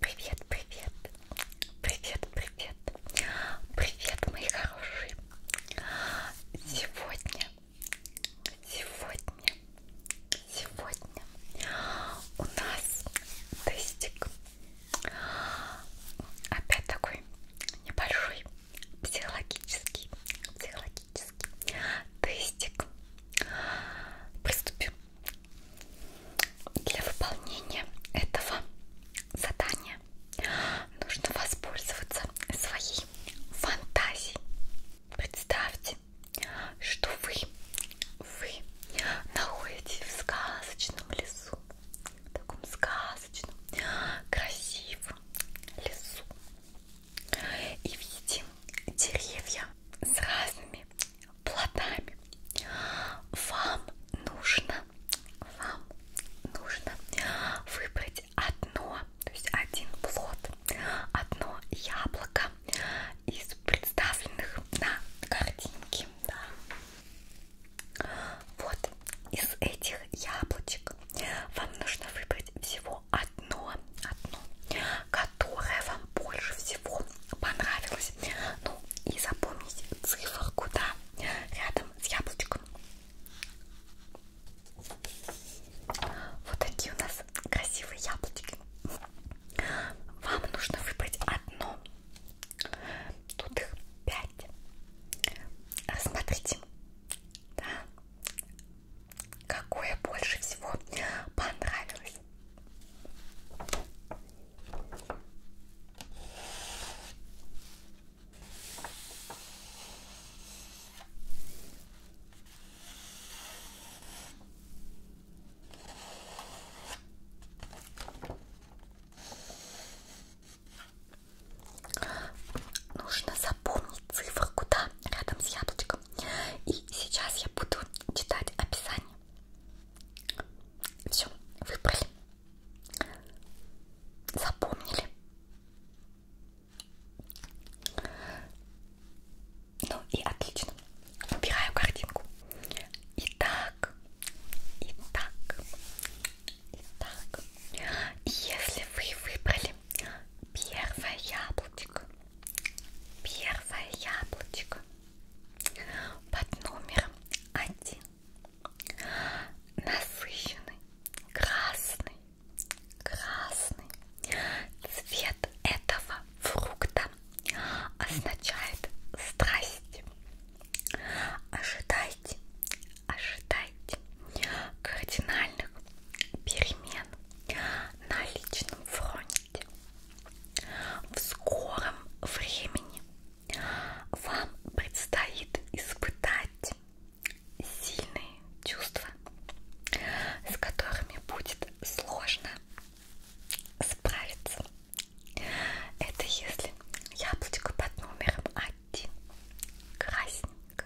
Привет, привет, привет, привет, привет, мои хорошие. Сегодня, сегодня, сегодня у нас тестик. Опять такой небольшой психологический, психологический магический тестик. Приступим. Для выполнения этого задания нужно воспользоваться своей фантазией. Представьте, что вы, вы находитесь в сказочном лесу, в таком сказочном, красивом лесу и видим деревья с разными плодами. Вам нужно, вам нужно выбрать одно, то есть один плод, одно яблоко из представленных на картинке. Да. Вот из этих яблочек вам нужно выбрать всего всего одно, одно, которое вам больше всего понравилось. Ну и запомните циферку, да, рядом с яблочком. Вот такие у нас красивые яблочки. Вам нужно выбрать одно. Тут их пять. Рассмотрите. Да. Какое больше всего понравилось? Нужно запомнить цифру, куда рядом с яблочком девочкам. И сейчас я буду читать описание. Все, выбрали. Запомнили. Ну и отлично. Убираю картинку. Итак, итак, итак. Если вы выбрали Смотрите, первое яблочко, первое яблочко под номером один, насыщенный, красный, красный цвет этого фрукта означает страсть. Ожидайте, ожидайте ожидаете кардинальных перемен на личном фронте. В скором времени вам предстоит испытать сильные чувства, с которыми будет сложно справиться. Это если яблочко под номером один красненько,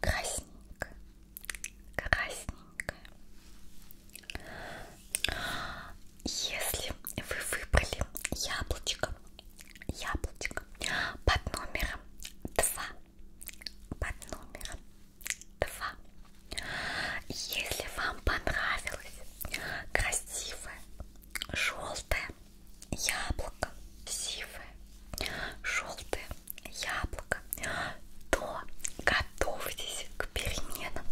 красненько, красненько. Если вы выбрали яблочко, яблочко под номером два, под номером два. Если вам понравилось красивое желтое яблоко сивое, желтое яблоко, то готовьтесь к переменам.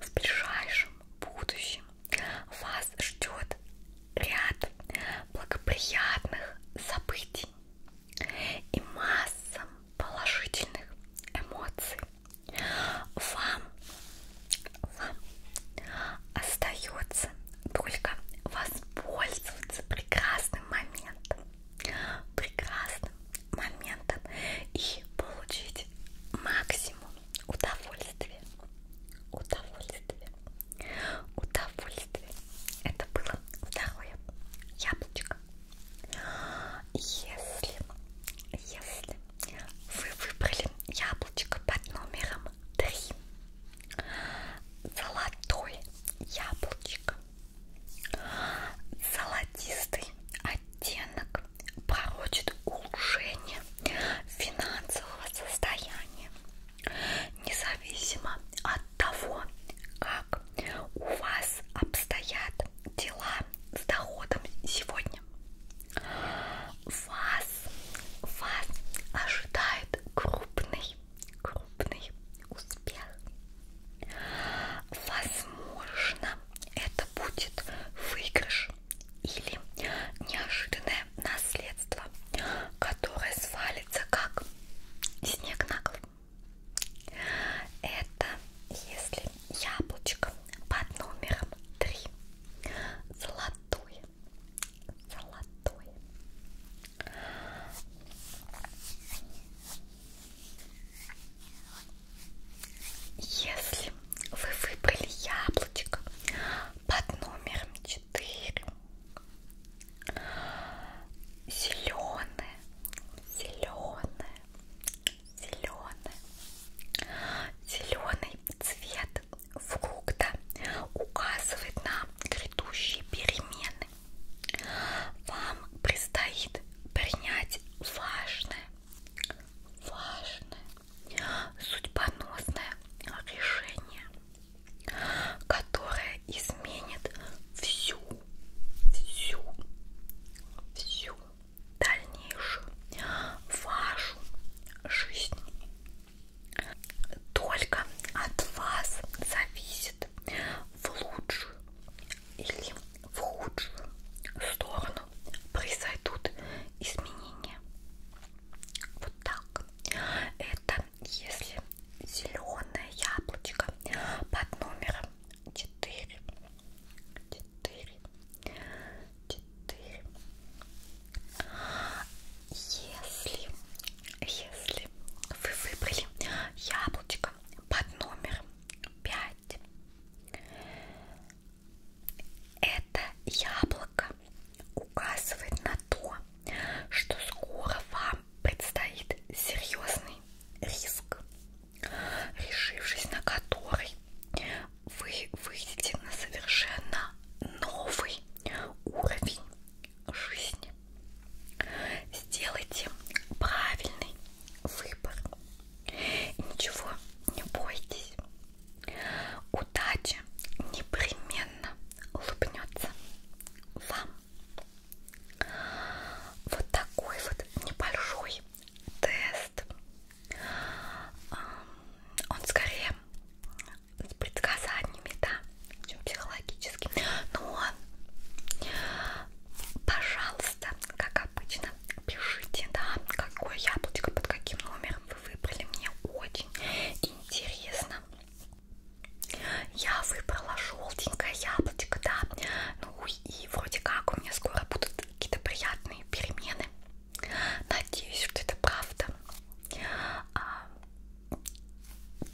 В ближайшем будущем вас ждет ряд благоприятных событий и масса положительных эмоций. Вам, вам остается только воспользоваться прекрасным моментом, прекрасным моментом и получить максимум удовольствия, удовольствия, удовольствия. Это было второе яблочко. Если, если вы выбрали яблочко под номером 3 золотой яблочко, золотистый оттенок порочит улучшение финансового состояния, независимо от того, как у вас обстоят дела с доходом сегодня. Вас вас, вас ожидает крупный, крупный успех. Возможно, это будет выигрыш или неожиданное наследство, которое свалится как снег на голову. Это если яблочко под номером 3 золотое золотой. Если вы выбрали яблочко под номером 4, зеленое, зеленое, зеленое, зеленый цвет фрукта указывает на грядущие перемены. Вам предстоит принять важное, важное, судьбоносное решение, которое изменит всю, всю, всю дальнейшую вашу жизнь. Только от вас зависит в лучшую или в худшую сторону произойдут изменения. Вот так. Это если зеленое яблочко под номером 4, 4 четыре. Если, если вы выбрали яблочко под номером пять, это яблоко указывает на то, что скоро вам предстоит серьезный риск, решившись на который вы выйдете на совершенно новый уровень жизни. Сделайте правильный выбор. Ничего не бойтесь. Удача непременно улыбнется вам. Вот такой вот небольшой тест. Он скорее с предсказаниями, да, чем психологически. Но, ну пожалуйста, как обычно, пишите, да, какое яблочко, под каким номером вы выбрали. Мне очень интересно. Я выбрала желтенькое яблочко, да. Ну и вроде как у меня скоро будут какие-то приятные перемены Надеюсь, что это правда. А,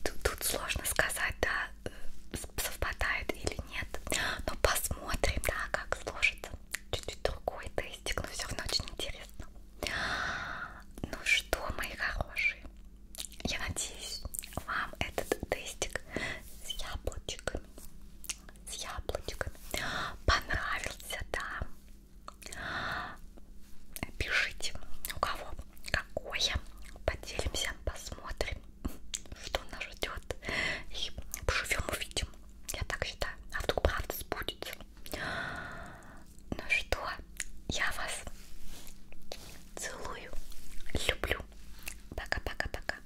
тут, тут сложно сказать, да, э, совпадает или нет. Но посмотрим, да, как сложится. Чуть-чуть другой тестик, но все равно очень интересно. Ну что, мои хорошие, я надеюсь, вам этот тестик с яблочками с яблочками. Понравился, да? Пишите, у кого какое. Поделимся, посмотрим, что нас ждет. И поживем, увидим. Я так считаю. А вдруг правда сбудется. Ну что, я вас целую, люблю. Пока-пока-пока.